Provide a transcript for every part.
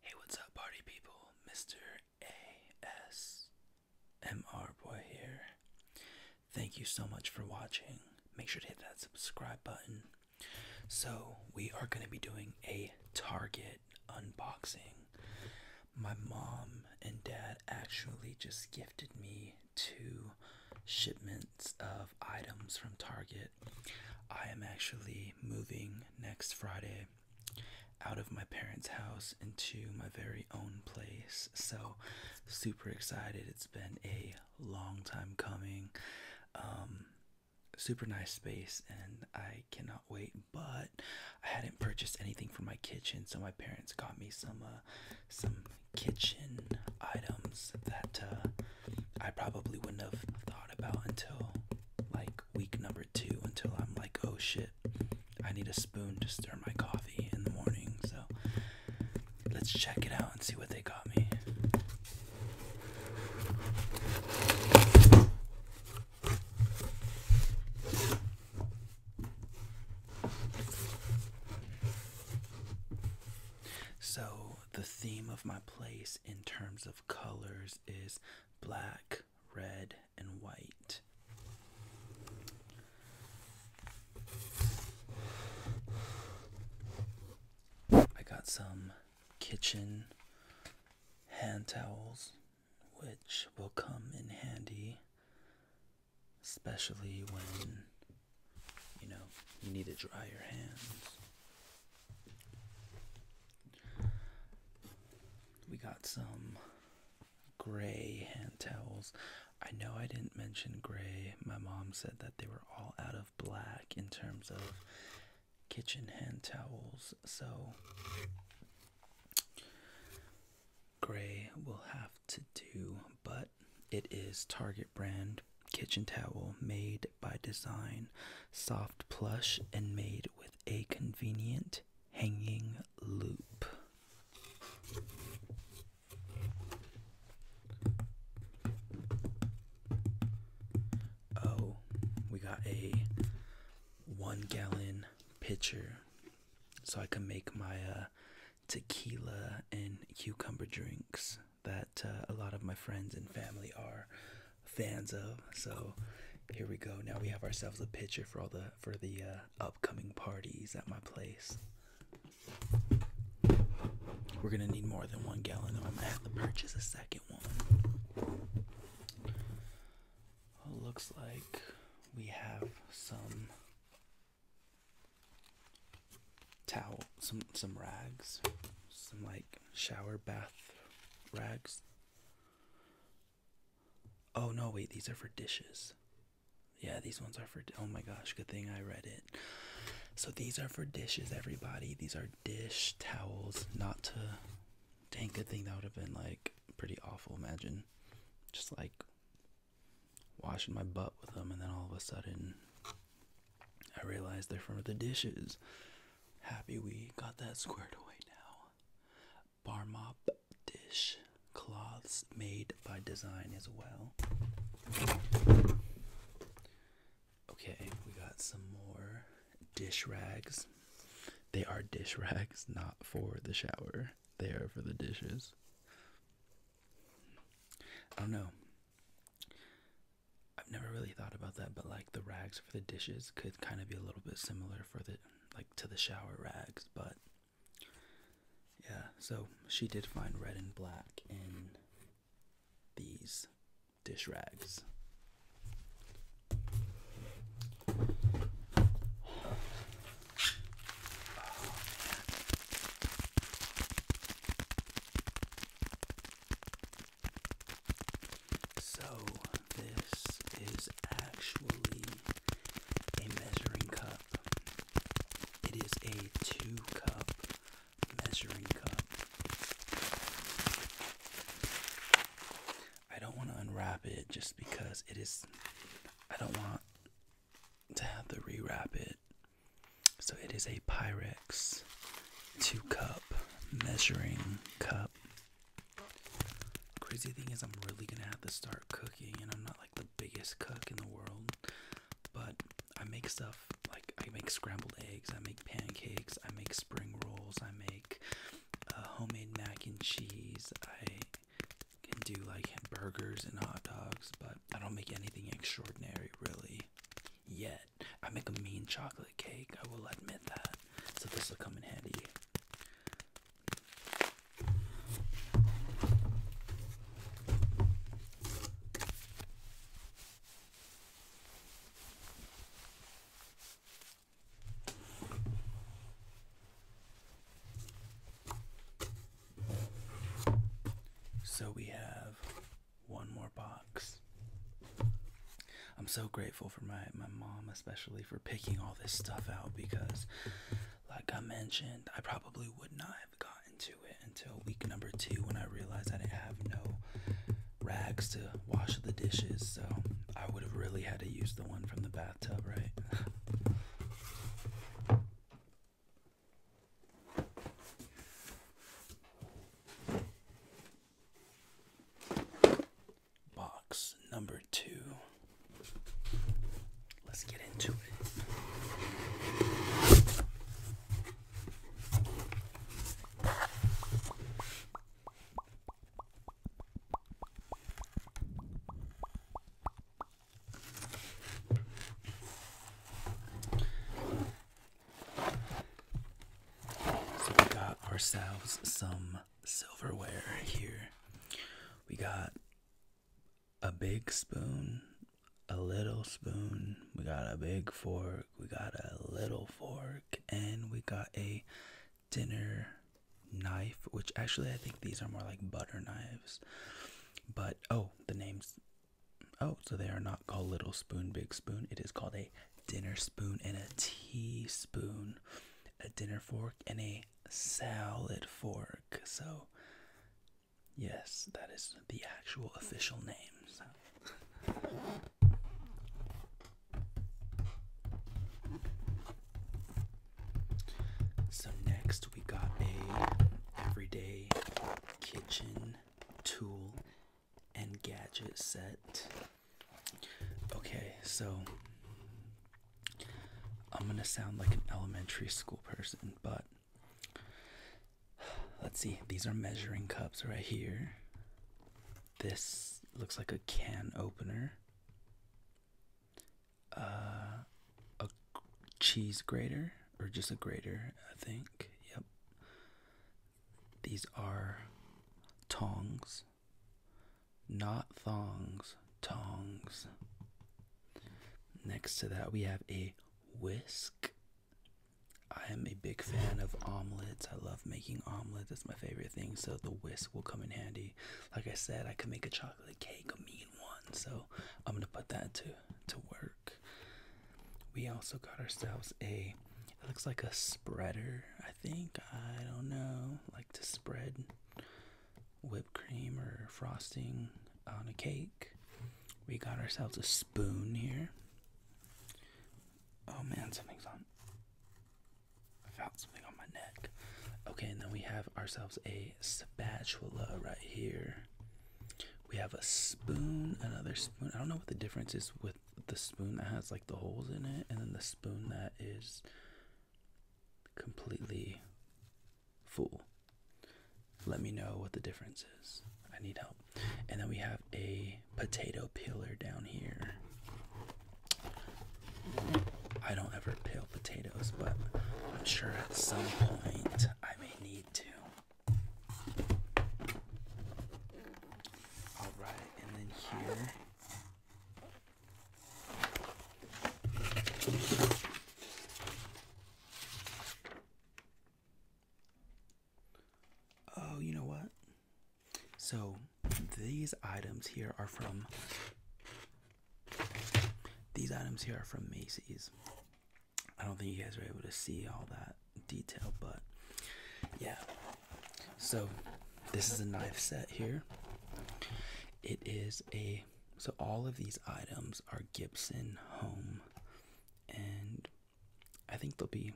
Hey, what's up, party people? Mr. ASMR Boy here. Thank you so much for watching. Make sure to hit that subscribe button. So, we are going to be doing a Target unboxing. My mom and dad actually just gifted me two shipments of items from Target. I am actually moving next Friday out of my parents' house into my very own place. So, super excited. It's been a long time coming. Um, super nice space, and I cannot wait. But I hadn't purchased anything for my kitchen, so my parents got me some uh, some kitchen items that uh, I probably wouldn't have thought about until like week number two, until I'm like, oh shit, I need a spoon to stir my coffee in the morning. So let's check it out and see what they got me. So, the theme of my place in terms of colors is black, red, and white. I got some kitchen hand towels, which will come in handy, especially when you know you need to dry your hands. We got some gray hand towels. I know I didn't mention gray. My mom said that they were all out of black in terms of kitchen hand towels. So gray will have to do, but it is Target brand kitchen towel made by design, soft plush, and made with a convenient hanging loop. Oh, we got a one gallon pitcher so I can make my uh, tequila and cucumber drinks that uh, a lot of my friends and family are fans of. So here we go. Now we have ourselves a pitcher for all the for the uh, upcoming parties at my place. We're gonna need more than one gallon, though. I'm gonna have to purchase a second one. Oh, looks like we have some towel, some some rags, some like shower bath rags. Oh no, wait, these are for dishes. Yeah, these ones are for Oh my gosh, good thing I read it. So these are for dishes, everybody. These are dish towels, not to Dang, good thing that would have been like pretty awful, imagine. Just like washing my butt with them and then all of a sudden I realized they're from the dishes. Happy we got that squared away now. Bar mop dish cloths made by design as well. Okay, we got some more dish rags. They are dish rags, not for the shower. They are for the dishes. I don't know. I've never really thought about that, but like the rags for the dishes could kind of be a little bit similar for the like to the shower rags, but yeah, so she did find red and black in these dish rags. So, this is actually a measuring cup. It is a two cup measuring cup. I don't want to unwrap it just because it is. I don't want to have to rewrap it so it is a Pyrex two cup measuring cup. Crazy thing is, I'm really gonna have to start cooking, and I'm not like the biggest cook in the world, but I make stuff like I make scrambled eggs, I make pancakes, I make spring rolls, I make uh, homemade mac and cheese, I can do like burgers and hot dogs, but I don't make anything extraordinary really yet. I make a mean chocolate cake, I will admit that. So this will come in handy. So we have one more box. I'm so grateful for my, my mom, especially for picking all this stuff out because, like I mentioned, I probably would not have gotten to it until week number two when I realized I didn't have no rags to wash the dishes. So I would have really had to use the one from the bathtub, right? Box number two. Let's get into it. So we got ourselves some silverware here. We got a big spoon, a little spoon, we got a big fork, we got a little fork, and we got a dinner knife, which actually I think these are more like butter knives. But oh, the name's Oh, so they are not called little spoon, big spoon. It is called a dinner spoon and a teaspoon, a dinner fork and a salad fork. So, yes, that is the actual official names. So. So next we got a everyday kitchen tool and gadget set. Okay, so I'm gonna sound like an elementary school person, but let's see, these are measuring cups right here. This looks like a can opener. Uh, a cheese grater or just a grater, I think. Yep. These are tongs, not thongs, tongs. Next to that, we have a whisk. I am a big fan of omelets. I love making omelets. That's my favorite thing. So the whisk will come in handy. Like I said, I could make a chocolate cake, a mean one. So I'm going to put that too to work. We also got ourselves a it looks like a spreader, I think. I don't know, like to spread whipped cream or frosting on a cake. We got ourselves a spoon here. Oh man, something's on. I felt something on my neck. Okay, and then we have ourselves a spatula right here. We have a spoon, another spoon. I don't know what the difference is with the spoon that has like the holes in it and then the spoon that is completely full. Let me know what the difference is. I need help. And then we have a potato peeler down here. I don't ever peel potatoes, but I'm sure at some point I may need Alright, and then here. Oh, you know what? So these items here are from these items here are from Macy's. I don't think you guys are able to see all that detail, but yeah. So this is a knife set here. It is a so all of these items are Gibson Home, and I think they'll be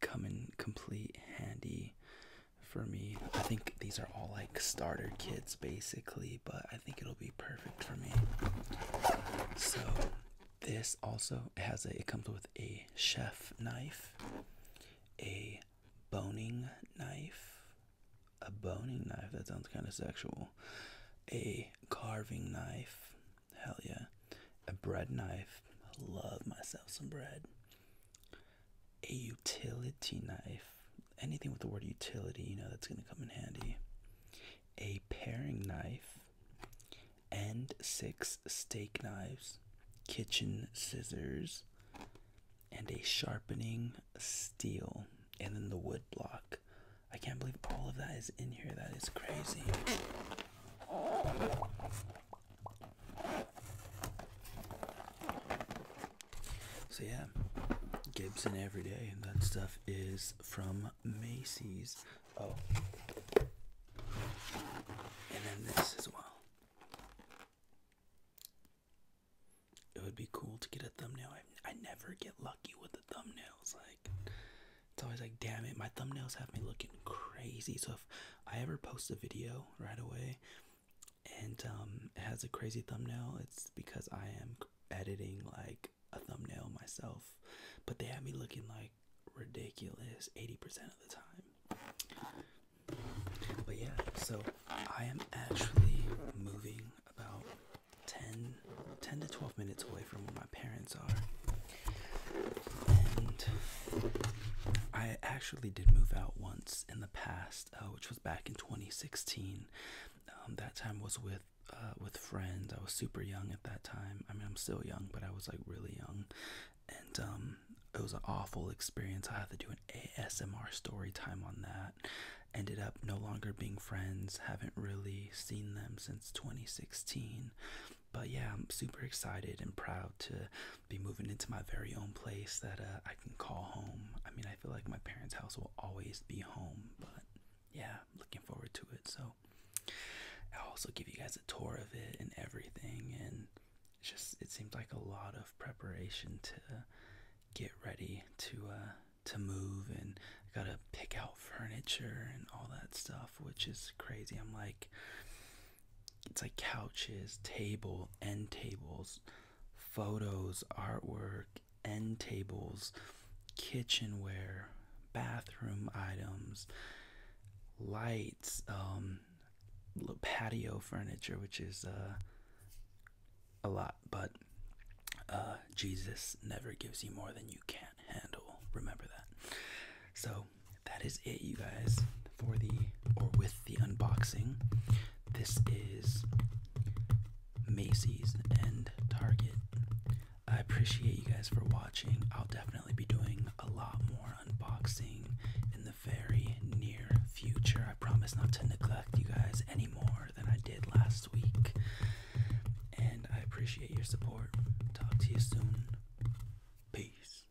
coming complete handy for me. I think these are all like starter kits basically, but I think it'll be perfect for me. So this also has a it comes with a chef knife, a boning knife, a boning knife that sounds kind of sexual, a carving knife, hell yeah, a bread knife, love myself some bread, a utility knife, anything with the word utility, you know, that's going to come in handy. A paring knife and six steak knives, kitchen scissors, and a sharpening steel, and then the wood block. I can't believe all of that is in here. That is crazy. So yeah, Gibson every day, and that stuff is from Macy's. Oh, and then this as well. It would be cool to get a thumbnail. I, I never get lucky with the thumbnails. Like it's always like, damn it, my thumbnails have me looking crazy. So if I ever post a video right away and um, it has a crazy thumbnail. It's because I am editing like a thumbnail myself, but they have me looking like ridiculous 80% of the time. But yeah, so I am actually moving about 10, to 12 minutes away from where my parents are. And I actually did move out once in the past uh, which was back in 2016. Um, that time was with uh, with friends. I was super young at that time. I mean, I'm still young, but I was like really young, and um, it was an awful experience. I had to do an ASMR story time on that. Ended up no longer being friends. Haven't really seen them since 2016. But yeah, I'm super excited and proud to be moving into my very own place that uh, I can call home. I mean, I feel like my parents' house will always be home, but yeah, looking forward to it. So I'll also give you guys a tour of it and everything. And just it seemed like a lot of preparation to get ready to uh, to move, and gotta pick out furniture and all that stuff, which is crazy. I'm like, it's like couches, table, end tables photos, artwork, end tables, kitchenware, bathroom items, lights, um, patio furniture, which is uh, a lot, but uh, Jesus never gives you more than you can handle. Remember that. So, that is it, you guys for the or with the unboxing. This is Macy's and Target. I appreciate you guys for watching. I'll definitely be doing a lot more unboxing in the very near future. I promise not to neglect you guys any more than I did last week. And I appreciate your support. Talk to you soon. Peace.